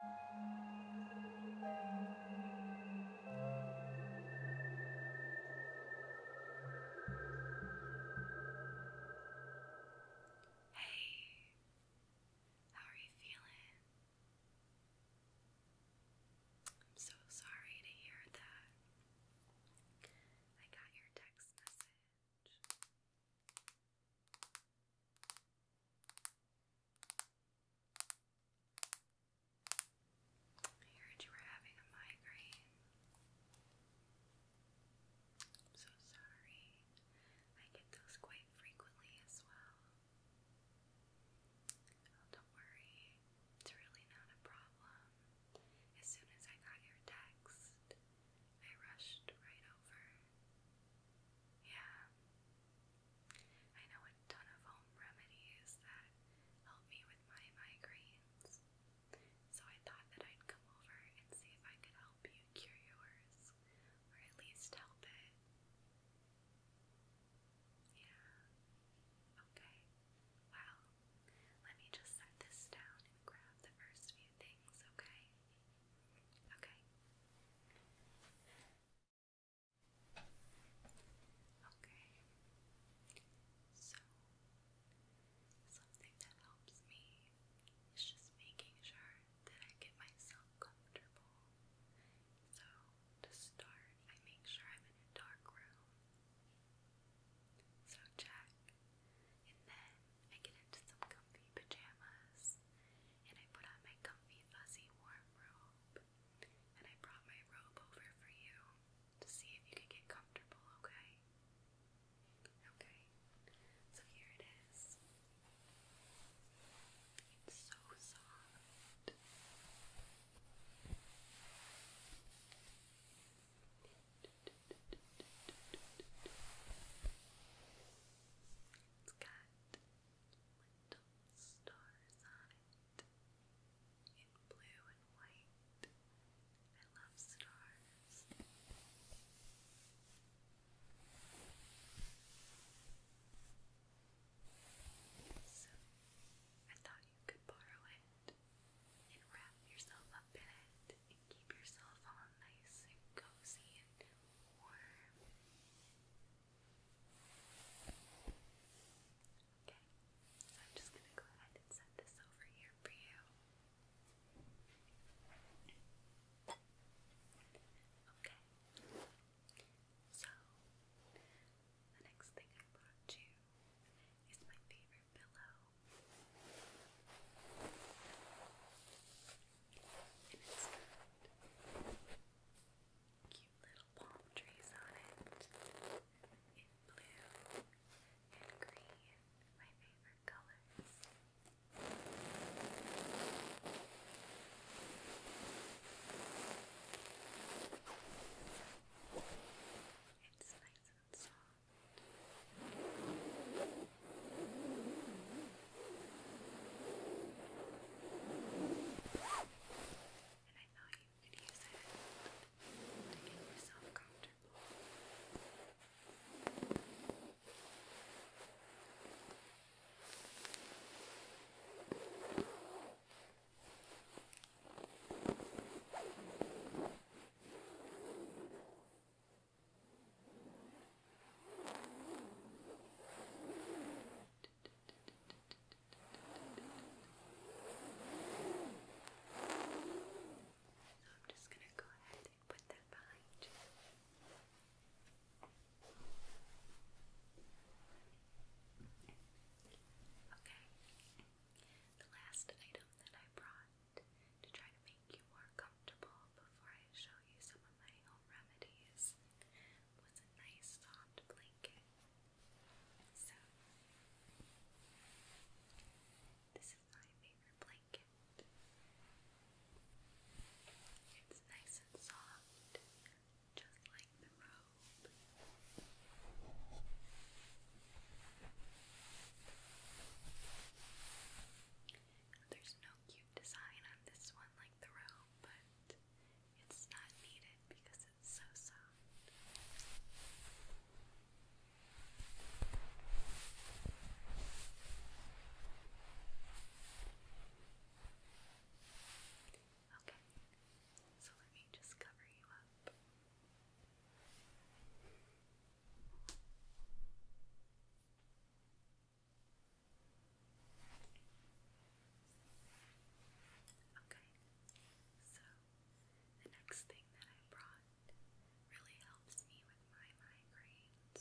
Hey, how are you feeling? I'm so sorry to hear that. I got your text message. I heard you were having a migraine. I'm so sorry. I get those quite frequently as well. Oh, don't worry. It's really not a problem. As soon as I got your text, I rushed right over yeah. I know a ton of home remedies that help me with my migraines. So I thought that I'd come over and see if I could help you cure yours, or at least help it. Yeah. Okay. Well, let me just set this down and grab the first few things, okay? Okay. Okay. So something that helps me is just making sure that I get myself comfortable. So to start, I make sure I'm in a dark room. So check. And then I get into some comfy pajamas and I put on my comfy, fuzzy, warm robe. And I brought my robe over for you to see if you could get comfortable, okay? Okay, so here it is. It's so soft. It's little stars on it in blue and white. I love stars. So, I thought you could borrow it and wrap yourself up in it and keep yourself all nice and cozy and Okay, I'm just going to go ahead and set this over here for you. Okay, so the next thing I brought you is my favorite pillow. And it's got cute little palm trees on it in blue and green, my favorite colors. It's nice and soft. And I thought you could use it to get yourself comfortable. Now, so I'm just going to go ahead and put that behind you. Okay. The last item that I brought to try to make make you more comfortable before I show you some of my own remedies with a nice soft blanket. So, this is my favorite blanket. It's nice and soft, just like the robe. There's no cute design on this one like the robe, but it's not needed because it's so soft. Okay, so let me just cover you up. Okay, so the next thing that I brought really helps me with my migraines.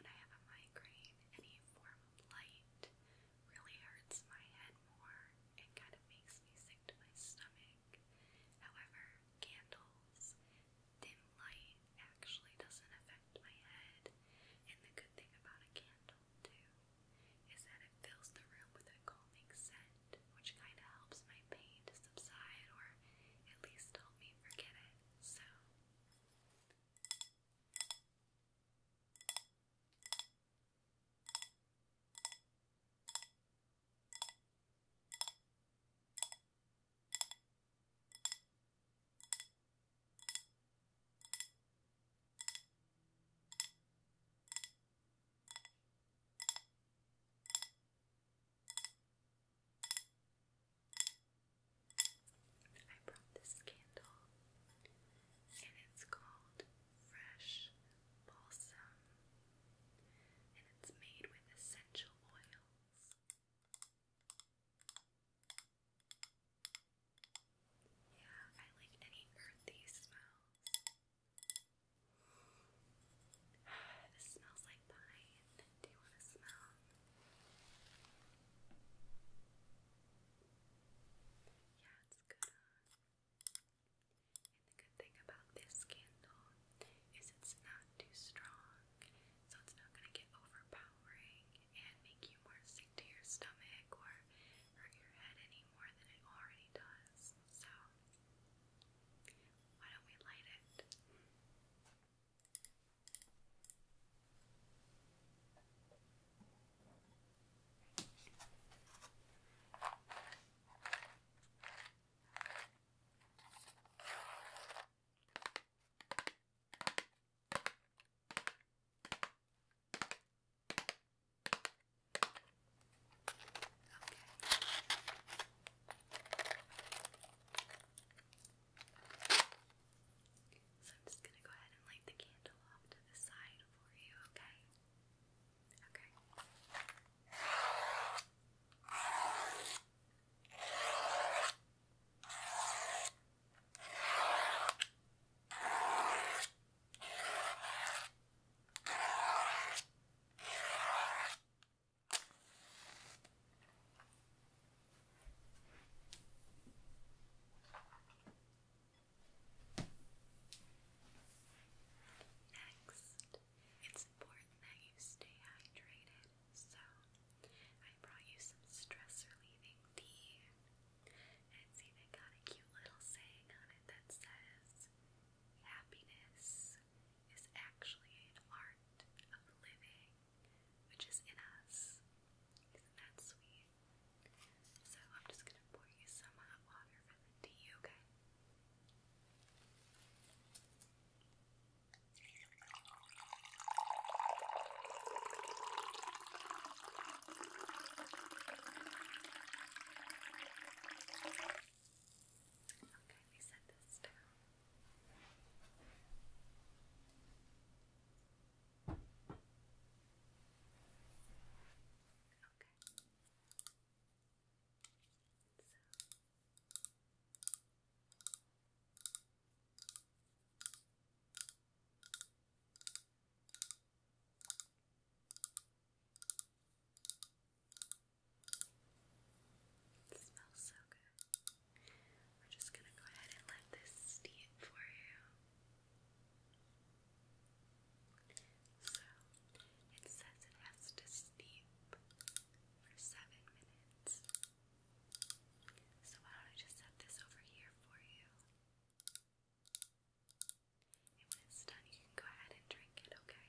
When I have a migraine, any form of light really hurts my head more and kind of makes me sick to my stomach. However, candles dim light actually doesn't affect my head. And the good thing about a candle, too, is that it fills the room with a calming scent, which kind of helps my pain to subside or at least help me forget it. So. I brought this candle and it's called Fresh Balsam and it's made with essential oils. Yeah, I like any earthy smells. this smells like pine. Do you want to smell? Yeah, it's good. Uh, and the good thing about this candle is it's not too strong, so it's not going to get overpowering and make you more sick to your stomach or hurt your head any more than it already does. So, why don't we light it? So I'm just going to go ahead and light the candle off to the side for you, okay? Okay. Okay. Next, it's important that you stay hydrated. So, I brought you some stress relieving tea. And it's even got a cute little saying on it that says, Happiness is actually an art of living, which is in us. Isn't that sweet? So, I'm just gonna pour you some hot water for the tea, okay? Okay, we set this down. Okay. So it smells so good. We're just going to go ahead and let this steam for you. So, it says it has to steep for seven minutes. So why don't I just set this over here for you? when it's done, you can go ahead and drink it, okay?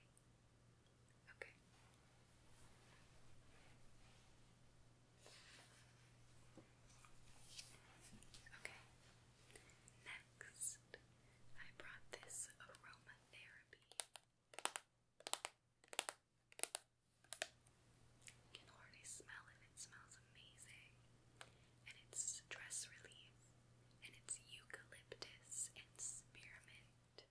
Okay. Okay. Next, I brought this aromatherapy can already smell it. It smells amazing. And it's stress relief. And it's eucalyptus and spearmint.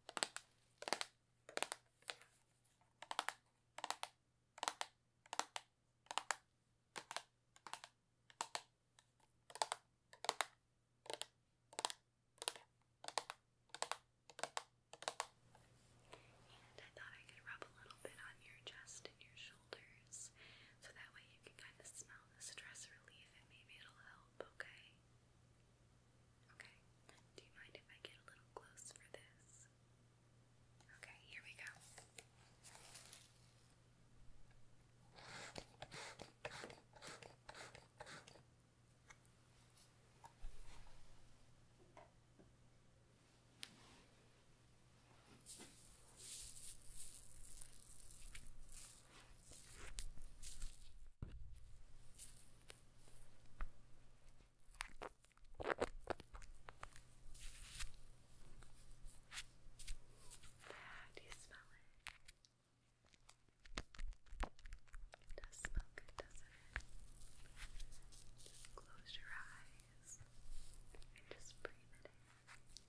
And I thought I could rub a little bit on your chest and your shoulders so that way you can kind of smell the stress relief and maybe it'll help, okay? Okay, do you mind if I get a little close for this? Okay, here we go. Do you smell it? It does smell good, doesn't it? Just close your eyes and just breathe it in. Just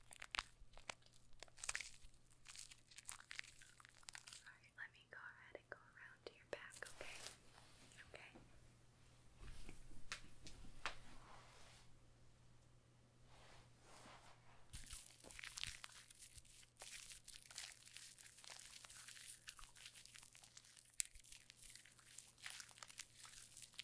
Alright, let me go ahead and go around to your back, okay? Okay.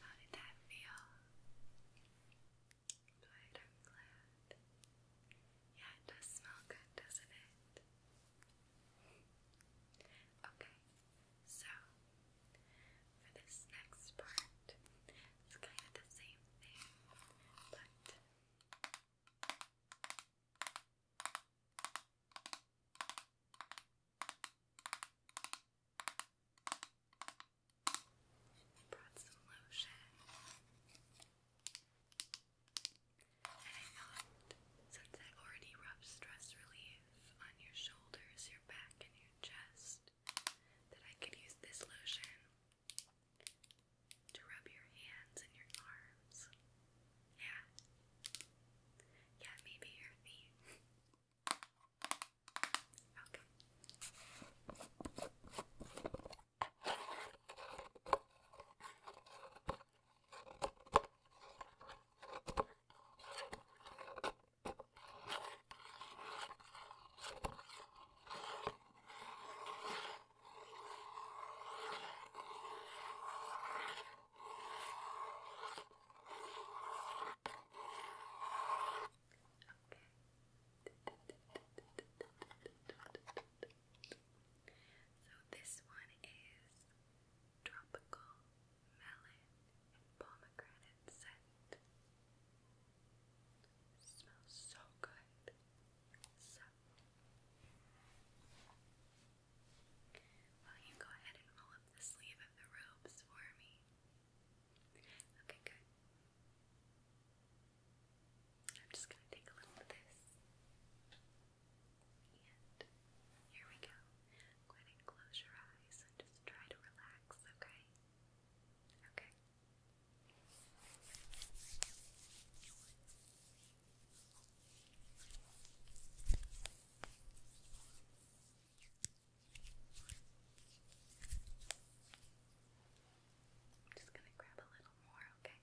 How did that feel? Good, I'm glad. Yeah, it does smell good, doesn't it? Okay, so for this next part, it's kind of the same thing, but brought some lotion. And I thought, since I already rub stress relief on your shoulders, your back, and your chest, that I could use this lotion to rub your hands and your arms. Yeah. Yeah, maybe your feet. Okay. So this one is tropical melon and pomegranate scent. smells so good. So, will you go ahead and roll up the sleeve of the robes for me? Okay, good. I'm just going to take a little of this. And here we go. Go ahead and close your eyes and just try to relax, okay? Okay. I'm just going to grab a little more, Okay.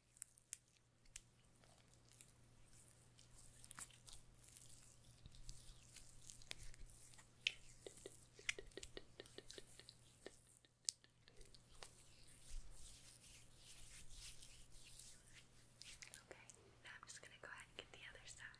Okay, now I'm just going to go ahead and get the other side.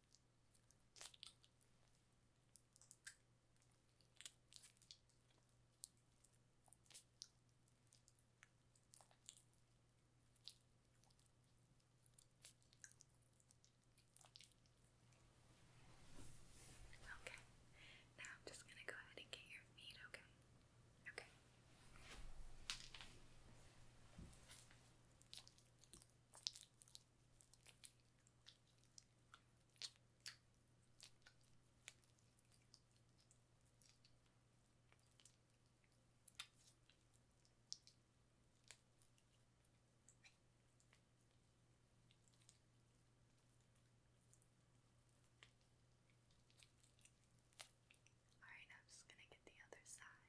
Okay, now I'm just going to go ahead and get your feet, okay? Okay. All right, I'm just going to get the other side.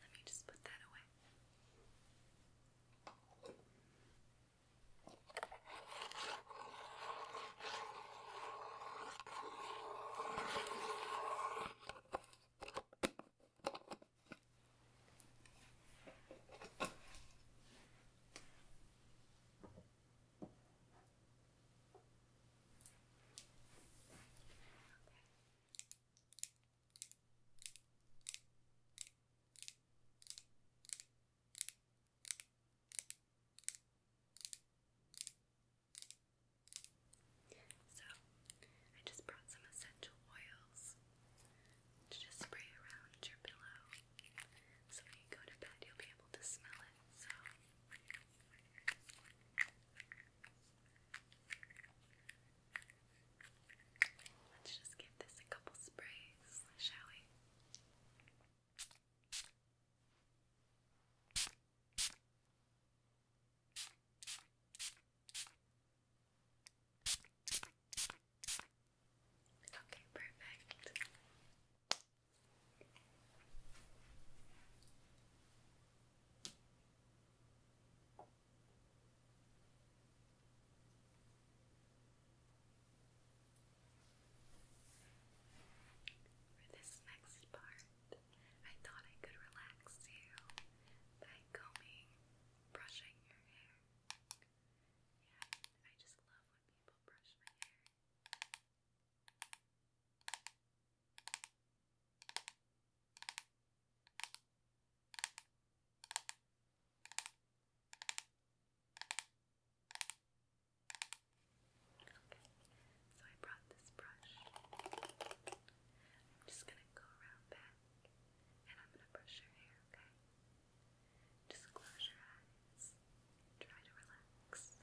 Let me just put that away. So, I just brought some essential oils to just spray around your pillow so when you go to bed you'll be able to smell it. So, Let's just give this a couple sprays, shall we? Okay, perfect. For this next part, I thought I could relax you by combing, brushing your hair. Yeah, I just love when people brush my hair so I brought this brush. I'm just gonna go around back and I'm gonna brush your hair, okay? Just close your eyes. Try to relax.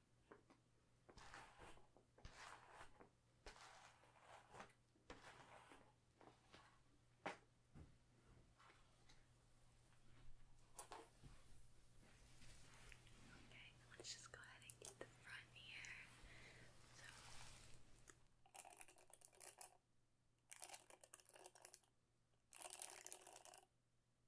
Okay, let's just go ahead and get the front here. So Okay.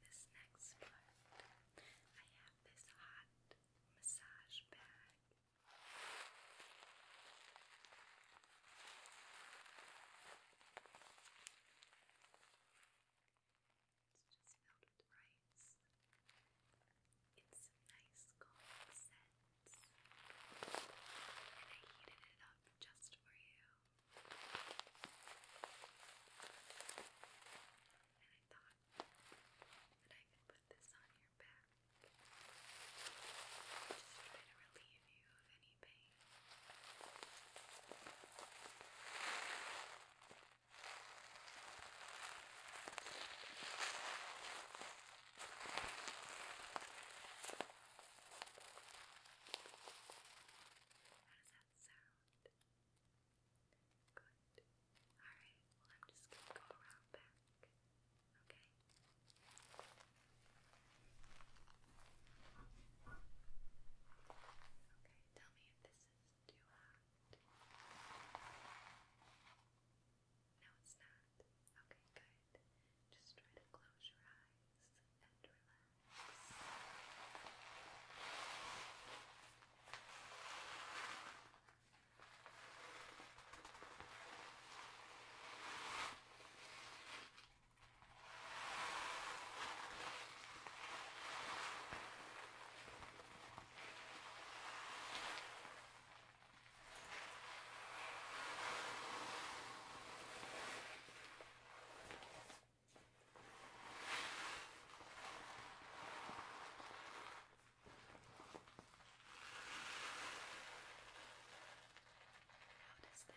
This next part, I have this hot massage bag. It's just filled with rice in some nice calming scents, and I heated it up just for you. And I thought that I could put this on your back, just to relieve you of any pain. How does that sound? Good. Alright, well, I'm just gonna go around back. Okay? Okay, tell me if this is too hot. Okay. No, it's not. Okay, good. Just try to close your eyes and relax. How does that feel? Good.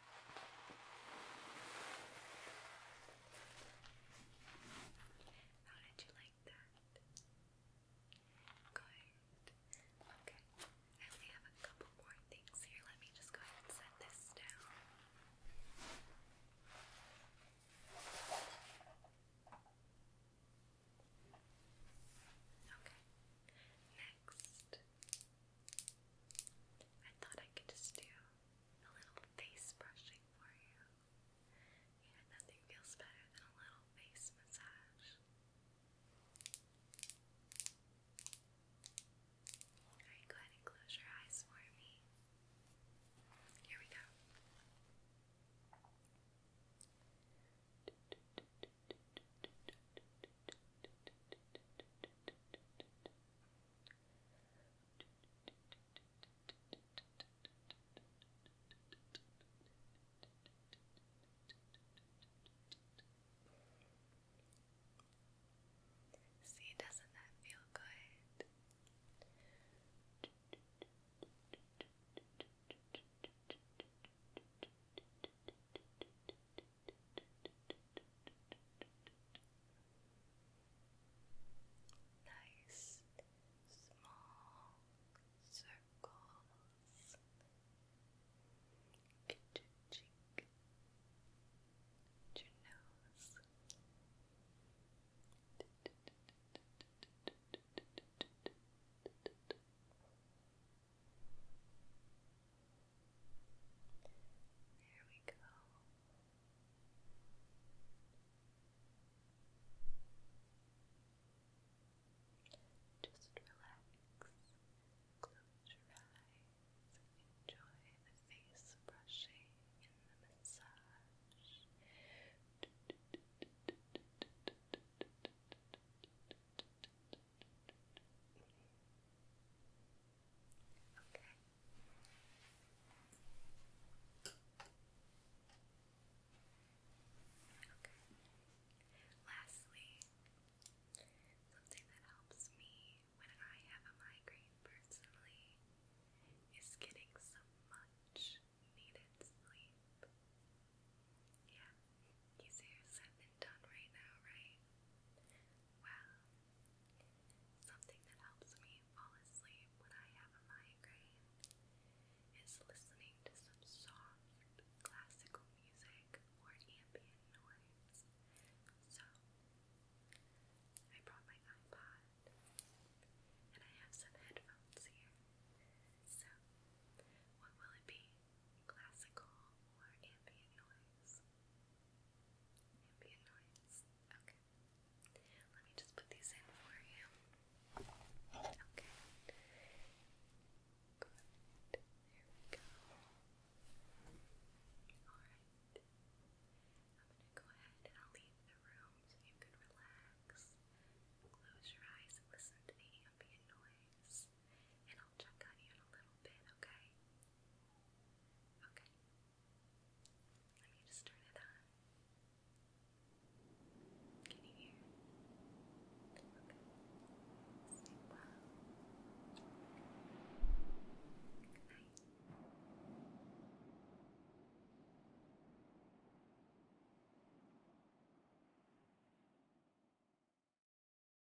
How did you like that? Good. Okay. I only have a couple more things here. Let me just go ahead and set this down. Okay. Next. I thought I could just do a little face brushing for you. Yeah, nothing feels better than a little face massage. Alright, go ahead and close your eyes for me. Here we go. See, doesn't that feel good? Nice small circles. Get your cheek, get your nose. There we go. Just relax, close your eyes, enjoy the face brushing and the massage. Okay. Okay. Lastly, something that helps me when I have a migraine personally is getting some much needed sleep. Yeah, easier said than done right now, right? Wow. Something that helps me fall asleep when I have a migraine is listening to some soft classical music or ambient noise. So, I brought my iPod and I have some headphones here. So, what will it be? Classical or ambient noise? Ambient noise. Okay. Let me just put these in for you. Okay. Good. There we go. Alright. go ahead and I'll leave the room so you can relax. Close your eyes and listen to the ambient noise and I'll check on you in a little bit, okay? Okay. Let me just turn it on. Can you hear? Okay. Sleep well. Good night.